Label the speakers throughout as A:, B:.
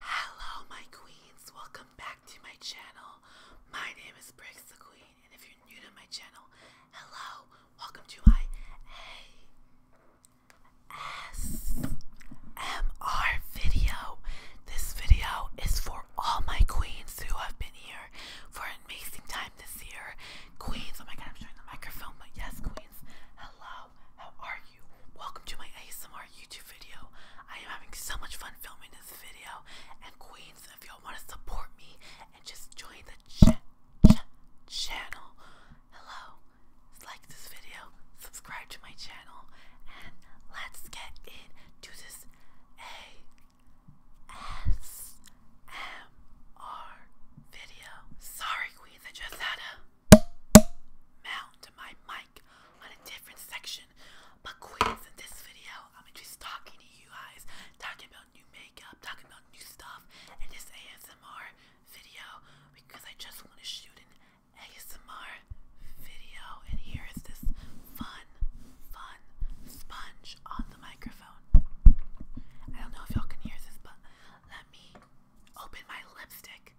A: Hello, my queens. Welcome back to my channel. My name is Bricks the Queen, and if you're new to my channel, hello. Welcome to my ASMR video. This video is for all my queens who have been here for an amazing time this year. Queens, oh my god, I'm showing the microphone, but yes, queens. Hello, how are you? Welcome to my ASMR YouTube video. I am having so much fun filming this video. And Queens, if y'all want to support me and just join the channel, hello, like this video, subscribe to my channel, and let's get into this ASMR video. Sorry, Queens, I just had a mount to my mic on a different section. But queens, in this video, I'm just talking to you guys, talking about new makeup, talking about new stuff and this ASMR video because I just want to shoot an ASMR video. And here is this fun, fun sponge on the microphone. I don't know if y'all can hear this, but let me open my lipstick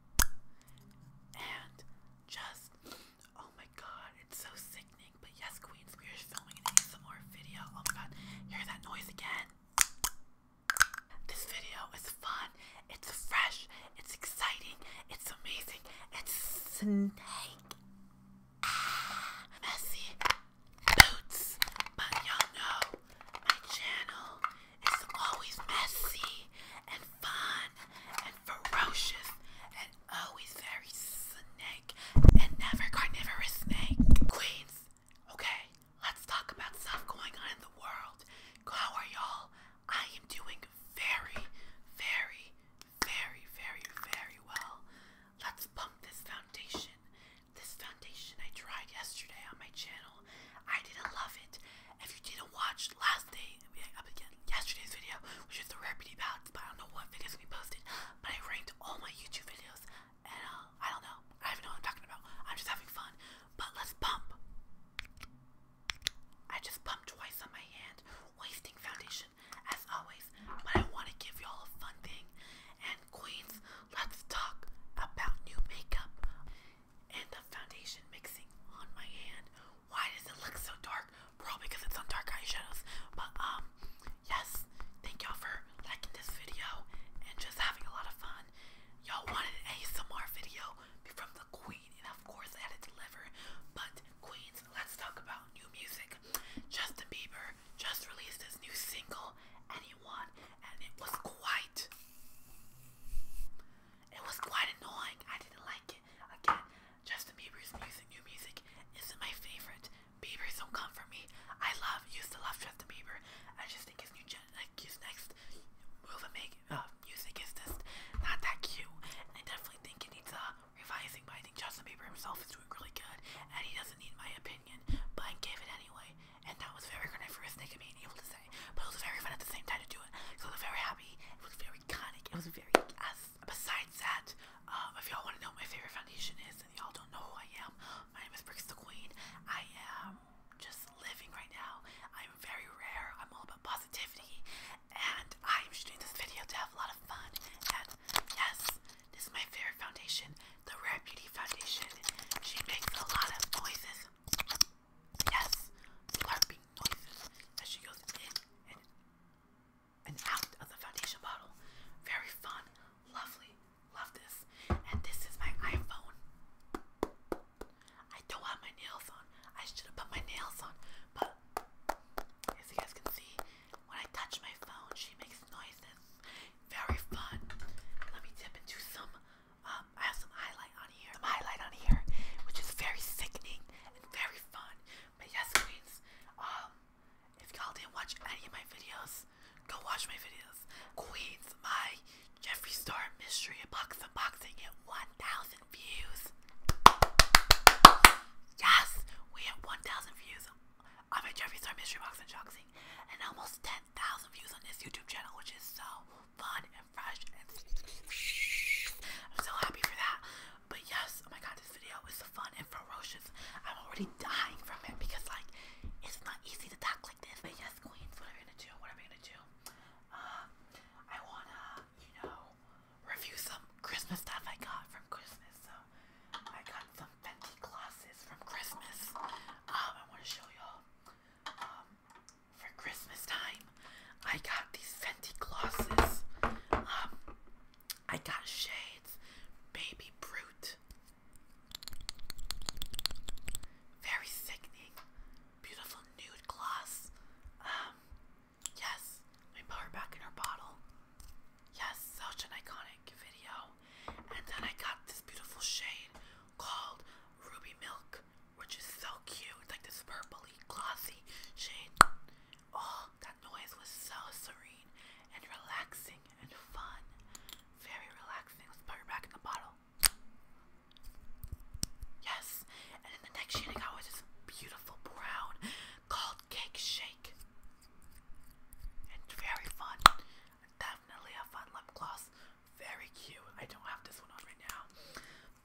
A: and just oh my god, it's so sickening. But yes, Queens, we are filming some more video. Oh my god, hear that noise again. This video is fun, it's fresh, it's exciting, it's amazing, it's snake ah, messy boots. But y'all know my channel it's always messy and fun and ferocious and always very snake and never carnivorous snake. Queens, okay, let's talk about stuff going on in the world. How are y'all? I am doing very, very, very, very, very well. Let's pump this foundation. This foundation I tried yesterday on my channel. I didn't love it. If you didn't watch last day, yesterday's video, which is the rarity balance, but I don't know what videos we posted, but I ranked all my YouTube videos, and uh, I don't know. I don't know what I'm talking about. I'm just having fun. But let's pump. I just pumped twice on my hand, wasting foundation as always. But I want to give y'all a fun thing. And queens, let's talk about new makeup and the foundation mixing on my hand. Why does it look so dark? Probably because it's on dark eyeshadows. But um, yes, thank y'all for liking this video and just having a lot of fun. Y'all wanted an ASMR video from the Queen, and of course I had to deliver. But Queens, let's talk about new music. Justin Bieber just released his new single, Anyone, and it was quite it was quite annoying. I didn't like it. Again, Justin Bieber's music, new music, isn't my favorite. Bieber's don't come for me. I love, used to love Justin Bieber. I just think his new, gen, like his next move and make uh, music is just not that cute. I definitely think it needs a revising. But I think Justin Bieber himself is doing really good, and he doesn't need my opinion. But I gave it anyway, and that was very good for able to say. But it was very fun at the same time to do it. So I was very happy. It was very iconic. It was very yes. Besides that, um, if y'all want to know my favorite foundation is, and y'all don't know who I am, my name is Bricks the Queen. I am just living right now. I'm very rare. I'm all about positivity, and I'm shooting this video to have a lot of fun. And yes, this is my favorite foundation, the Rare Beauty Foundation. She makes a lot of noises. Yes, slurping noises as she goes in and, and out of the foundation bottle. Very fun, lovely, love this. And this is my iPhone. I don't have my nails on. I should have put my nails on, but as you guys can see, when I touch my phone, she makes noises. Very fun. Let me dip into some um, I have some highlight on here, some highlight on here, which is very sickening and very fun. But yes, queens, um, if y'all didn't watch any of my videos, go watch my videos. Queens, my Jeffree Star mystery box unboxing at 1,000 views. Yes, we have 1,000 views on my Jeffree Star mystery box unboxing, and almost 10,000 views on this YouTube channel, which is so fun I'm so happy for that. But yes, oh my god, this video is fun and ferocious. I'm already dying from it because like it's not easy to talk like this. But yes, queens, what am I gonna do? What am I gonna do? Uh, I wanna, you know, review some Christmas stuff I got from Christmas. So I got some Fenty glosses from Christmas. Um, I wanna show y'all. Um, for Christmas time, I got these Fenty glosses. Um, I got shades, Baby Brute. Very sickening, beautiful nude gloss. Um, yes, I put her back in her bottle. Yes, such an iconic video. And then I got this beautiful shade called Ruby Milk which is so cute. It's like this purpley, glossy shade. Oh, that noise was so serene and relaxing and fun. Very relaxing. Let's put it back in the bottle. Yes, and then the next shade I got was this beautiful brown called Cake Shake. It's very fun. Definitely a fun lip gloss. Very cute. I don't have this one on right now.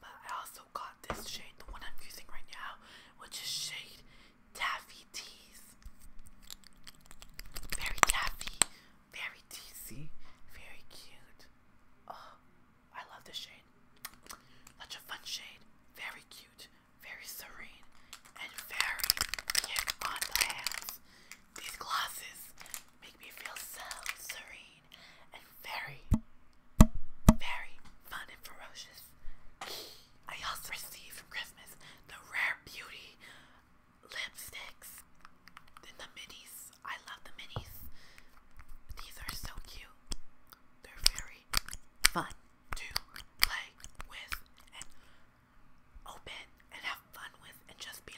A: But I also got this shade, the one I'm using right now, which is shade Taffy Tease. Very taffy, very teasy, very cute. Oh, I love this shade. Such a fun shade. Very cute, very serene, and very thick on the hands. These glasses make me feel so serene and very, very fun and ferocious. I also received from Christmas the Rare Beauty lipsticks and the minis. I love the minis. These are so cute. They're very fun to play with and open and have fun with and just be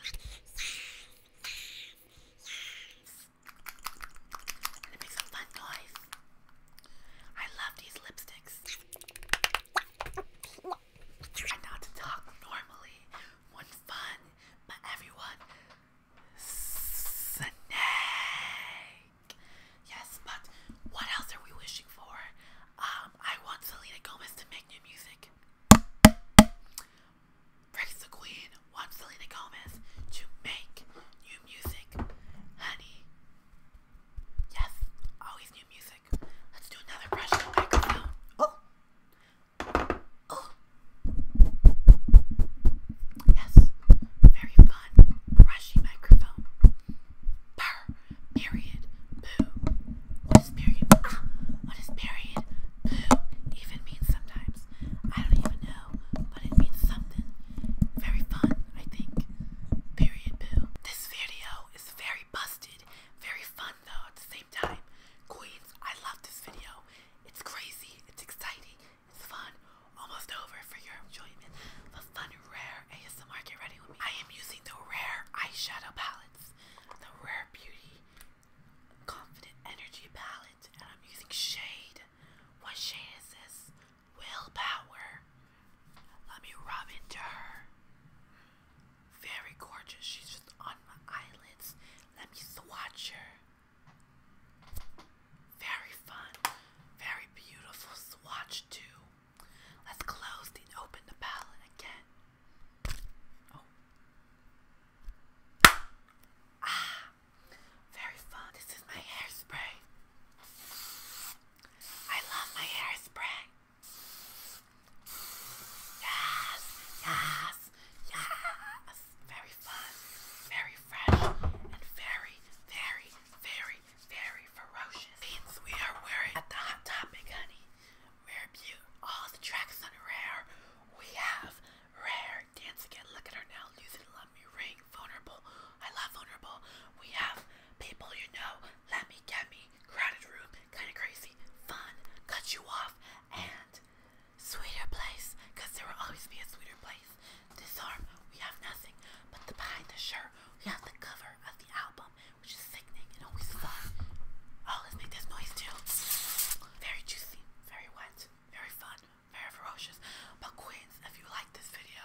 A: I love these lipsticks. Try not to talk normally when fun, but everyone. Snake. Yes, but what else are we wishing for? Um, I want Selena Gomez to make new music. Rex the Queen wants Selena Gomez to make new music. Honey. Yes, always new music. Let's do another brush microphone. Oh! Oh! Yes, very fun, brushy microphone. Purr, period, boo. What is period? Ah, what is period? even means sometimes. I don't even know, but it means something. Very fun, I think. Period poo. This video is very busted, very fun though at the same time. Queens, I love this video. It's crazy, it's exciting, it's fun. Almost over for your enjoyment. The fun rare ASMR get ready with me. I am using the rare eyeshadow palettes. The rare beauty Confident Energy Palette, and I'm using shade. What shade is this? Willpower. Let me rub into her. Very gorgeous. She's just on my eyelids. Let me swatch her. Very fun. Very beautiful swatch, too. Let's close and open the palette again. Oh. Ah, very fun. This is my hairspray. I love my hairspray. Yes, yes, yes. Very fun, very fresh, and very, very, very, very ferocious. Beans we are wearing at the Hot Topic, honey. Rare Butte, all the tracks on Rare. We have Rare, Dance Again, Look at Her Now, Lose It, Let Me Ring, Vulnerable, I Love Vulnerable. We have People You Know, Let Me Get Me, Crowded Room, Kinda Crazy, Fun, Cut You Off, and Sweeter Place, because there will always be a sweeter place. This arm, we have nothing, but the behind the shirt, we have the cover of the album, which is sickening and always fun. Oh, let's make this noise too. Very juicy, very wet, very fun, very ferocious. But queens, if you like this video,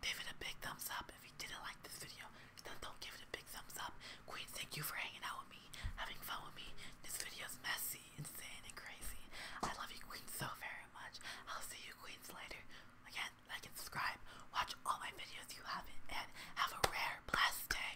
A: give it a big thumbs up. If you didn't like this video, then don't give it a big thumbs up. Queens, thank you for hanging out with me, having fun with me. This video is messy, insane, and crazy. I love you queens so very much. I'll see you queens later. Again, like and subscribe. Watch all my videos you haven't, and have a rare, blessed day.